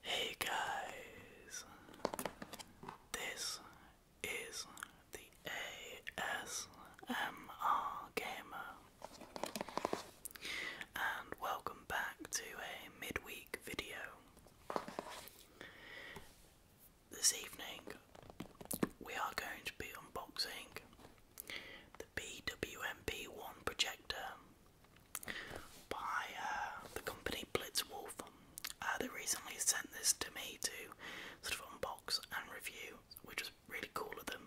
Hey guys, this is the ASMR Gamer, and welcome back to a midweek video. This evening, we are going to be unboxing the BWMP1 projector by uh, the company Blitzwolf. Um, uh, they recently sent this to me to sort of unbox and review, which was really cool of them.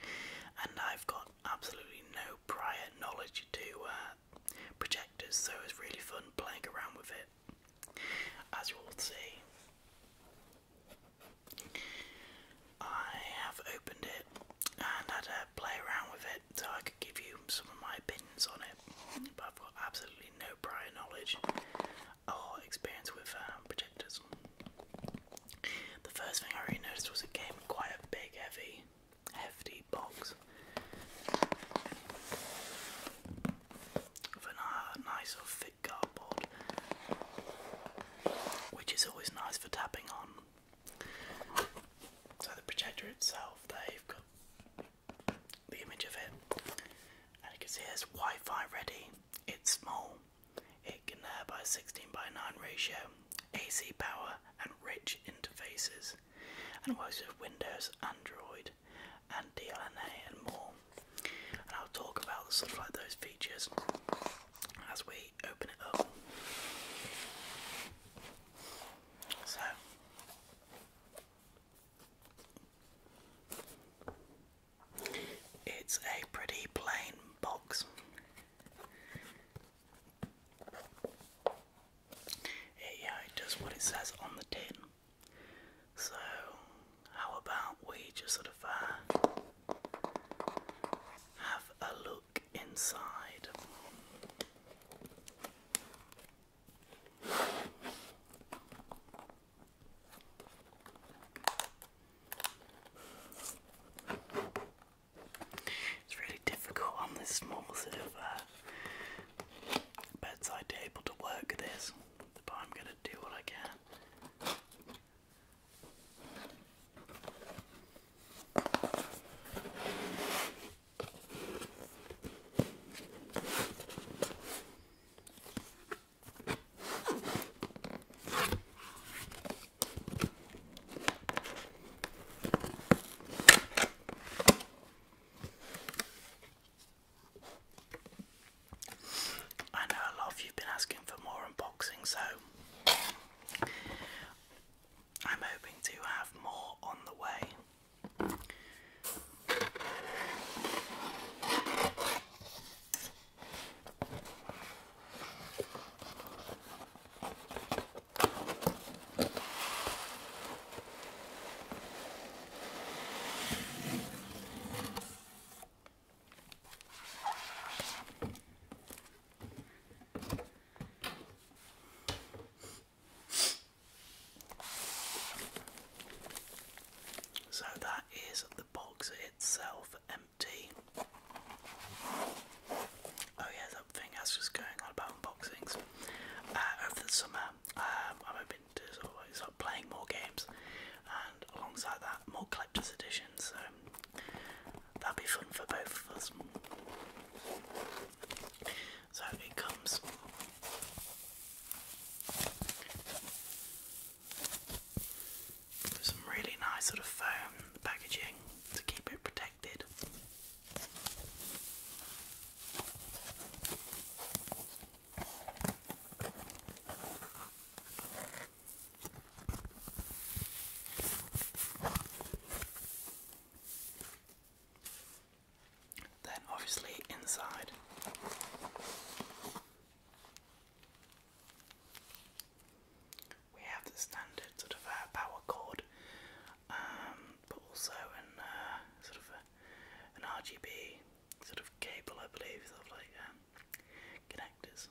And I've got absolutely no prior knowledge to uh, projectors, so it's really fun playing around with it. As you will see, I have opened it and had a play around with it so I could give you some of my opinions on it. But I've got absolutely no prior knowledge or experience with um, projectors. The first thing I really noticed was it came quite a big, heavy, hefty box with a nice thick cardboard, which is always nice for tapping on. So the projector itself, they've got the image of it, and you can see it's Wi-Fi ready. It's small. It can uh, by 16 by 9 ratio, AC power, and rich interfaces, and works with Windows, Android, and DLNA, and more. And I'll talk about sort of like those features as we open it up. So it's a pretty plain box. yeah, it does what it says on the tin. So, how about we just sort of uh, have a look inside? It's really difficult on this small sort of uh, bedside table to work this, but I'm going to do what I can. I know a lot of you've been asking for more unboxing, so I'm hoping to have more on the way. So that is the box itself empty. Oh yeah, that thing I just going on about unboxings. Uh, over the summer, um, I'm hoping to sort playing more games, and alongside that, more collector's editions. So that'd be fun for both of us. So it comes with some really nice sort of foam um, packaging to keep it protected. Then, obviously, inside. We have the standard sort of uh, power cord, um, but also an uh, sort of an RGB sort of cable, I believe, of like um, connectors.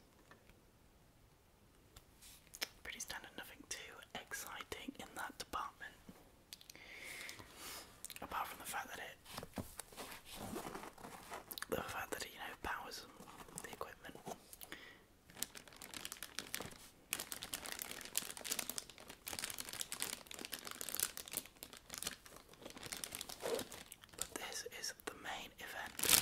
Pretty standard, nothing too exciting in that department. Apart from the fact that it, the fact that it, you know, powers the equipment. But this is the main event.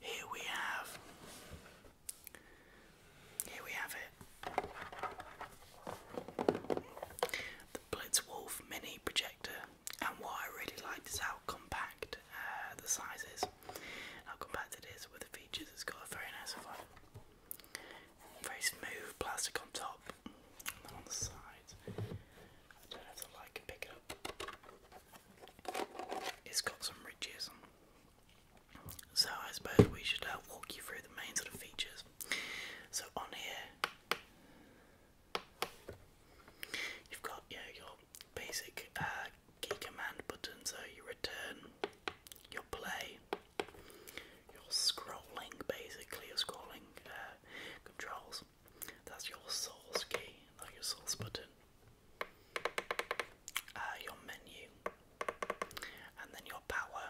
Here we have here we have it. The Blitzwolf mini projector and what I really like is how compact uh, the size is. How compact it is with the features. It's got a very nice one. Very smooth plastic on top on the sides. I don't know if the pick it up. It's got some ridges. So I suppose we should uh, walk you through the main sort of features. So on here, you've got your basic uh, key command button so you return your play. Your scrolling, basically, your scrolling uh, controls. That's your source key, not your source button. Uh, your menu, and then your power.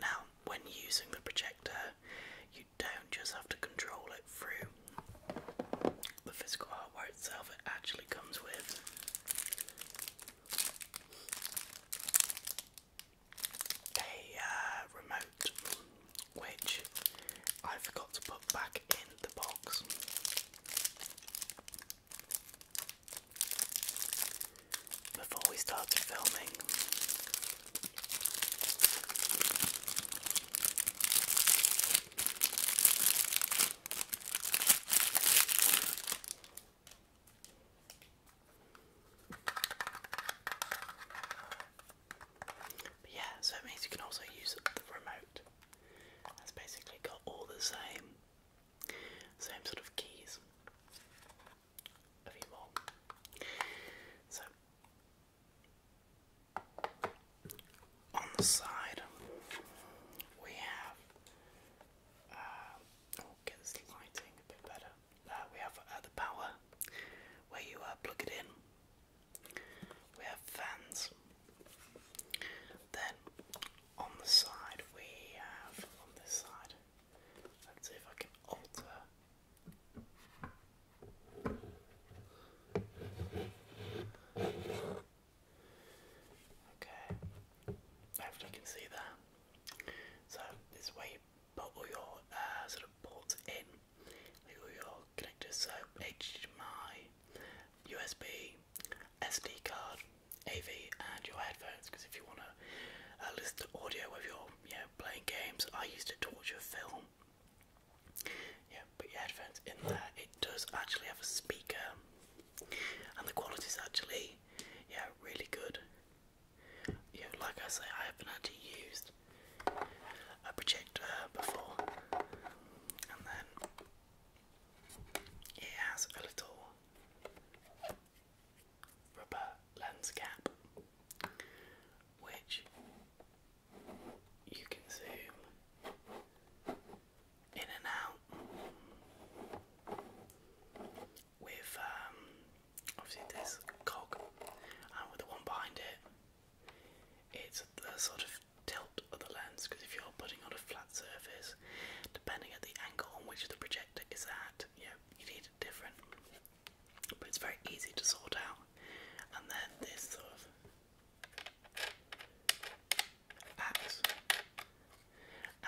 Now, when using the projector, you don't just have to control it through the physical hardware itself it actually comes with. A uh, remote, which I forgot to put back in the box. Before we started filming, yeah, so it means you can also use the remote. That's basically got all the same same sort of keys if you want. So on the side, we have. Uh, oh, get this lighting a bit better. Uh, we have uh, the power where you plug it in. We have fans. Then on the side, we have on this side. Let's see if I can alter. Okay, hopefully you can see that. So this way, you put all your uh, sort of ports in, like all your connectors, so HDMI, USB, SD card, AV, and your headphones. Because if you want to uh, listen to audio of your, you playing games, I used to torture film. Yeah, put your headphones in there. It does actually have a speaker, and the quality is actually, yeah, really good. Yeah, like I say, I haven't actually used a projector before, and then it has a little rubber lens cap, which you can zoom in and out with um, obviously this cog and with the one behind it it's a sort of tilt of the lens because if you're putting on a flat surface depending on the angle on which the projector is at you you need it different but it's very easy to sort out and then this sort of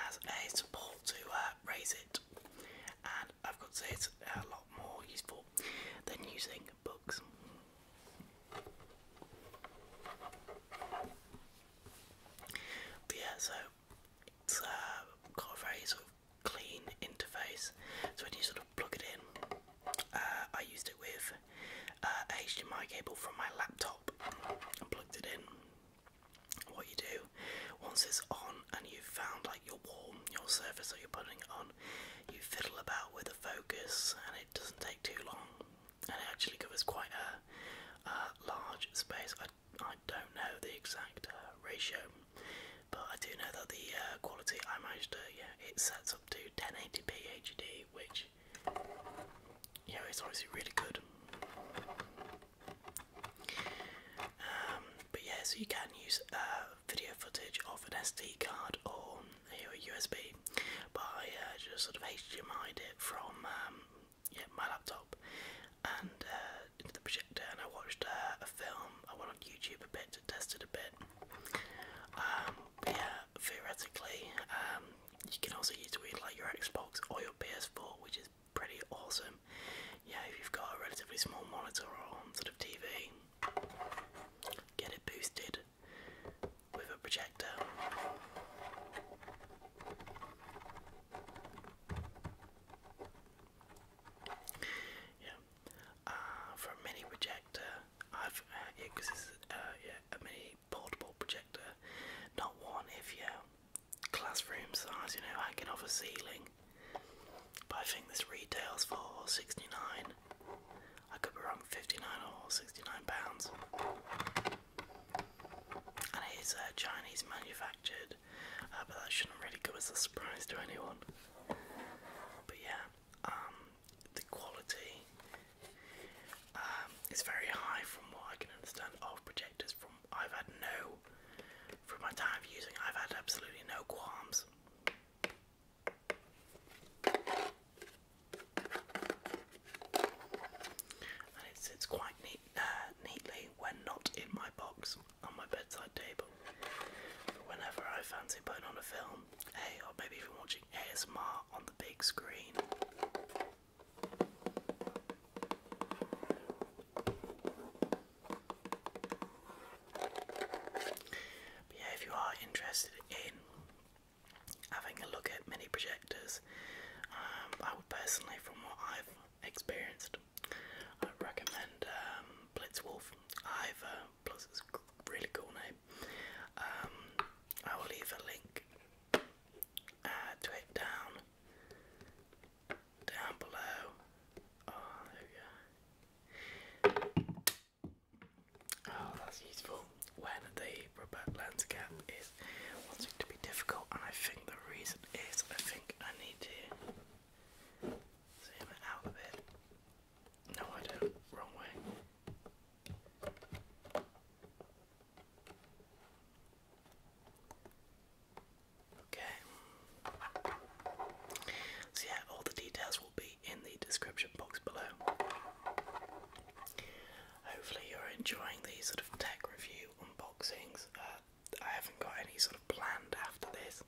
as, a support to uh, raise it. And I've got to say it's a lot more useful than using books. yeah, so it's uh, got a very sort of clean interface. So when you sort of plug it in, uh, I used it with HDMI uh, cable from my laptop and plugged it in. What you do once it's on and you've found like your warm, your surface that you're putting it on, you fiddle about with the focus and it doesn't take too long. And it actually covers quite a large space. I, I don't know the exact uh, ratio, but I do know that the uh, quality I managed to, yeah, it sets up to 1080p HD quality, which you know obviously really good. Um, but yeah, so you can use uh, video footage of an SD card or you USB, but uh, just sort of hdmi it from um, yeah my laptop and uh, into the projector, and I watched a film. I went on YouTube a bit to test it a bit. Um, yeah, theoretically, um, you can also use it with like your Xbox or your PS4, which is pretty awesome. Yeah, if you've got a relatively small monitor or sort of TV, get it boosted with a projector. Yeah, uh, for a projector, I've uh, yeah, because it's uh, a mini portable projector, not one if you classroom size, you know, hanging off a ceiling. But I think this retails for sixty nine. I could be wrong, fifty nine or sixty nine pounds. And it is uh, Chinese manufactured, uh, but that shouldn't really go as a surprise to anyone. But yeah, um, the quality um, is very high from what I can understand of projectors. From I've had no, from my time using, I've had absolutely no qualms. And it sits quite neat, uh, neatly when not in my box on my bedside table. whenever I fancy putting on a film film, hey, or maybe even watching ASMR on the big screen. yeah, if you are interested in having a look at mini projectors, um, I would personally, from what I've experienced, i recommend um, Blitzwolf. Plus, it's really cool name. Um, I will leave a link uh, to it down, down below. Oh, oh that's useful. When the Robert Landscap is wanting to be difficult, I think the reason is I think I need to zoom out a bit. No, I don't. Wrong way. Okay. So, yeah, all the details will be in the description box below. Hopefully, you're enjoying these sort of tech review unboxings. Uh, I haven't got any sort of planned after this,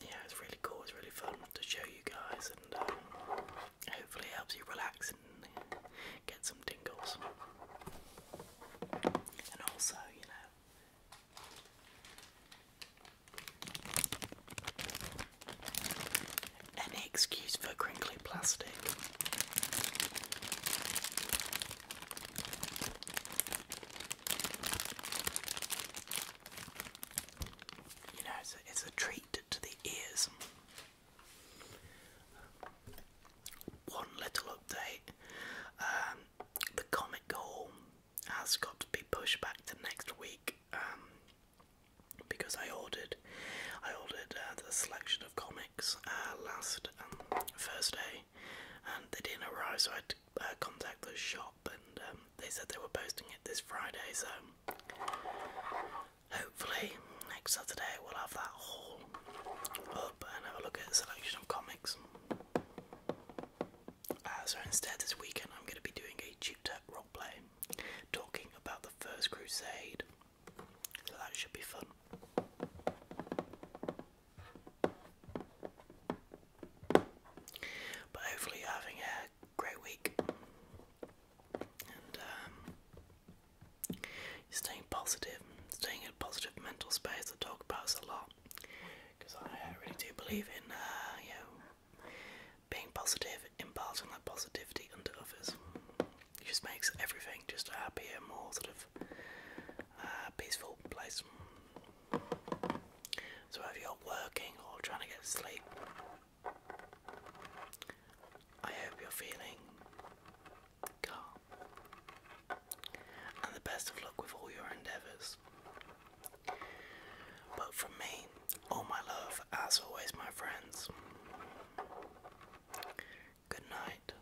yeah, it's really cool. It's really fun to show you guys, and uh, hopefully it helps you relax and get some tingles. And also, you know. Any excuse for crinkly plastic. You know, it's, a treat to the ears. One little update um, the comic haul has got to be pushed back to next week um, because I ordered I ordered uh, selection of comics uh, last um, Thursday and they didn't arrive so I had to uh, contact the shop shop, um, they said they were posting it this Friday, so hopefully next Saturday we'll have that haul up and have a look at a selection of comics. Uh, so instead, this weekend I'm going to be doing a tutor roleplay talking about the First Crusade, that should be fun. But hopefully, having a great week. And um, staying positive, staying in a positive mental space. I talk about this a lot because I really do believe in uh, you know being positive, imparting that positivity onto others. It just makes everything just a happier, more sort of uh, peaceful place. So, whether you're working or trying to get sleep, I hope you're feeling calm and the best of luck with all your endeavours. But from me, all my love, as always, my friends. Good night.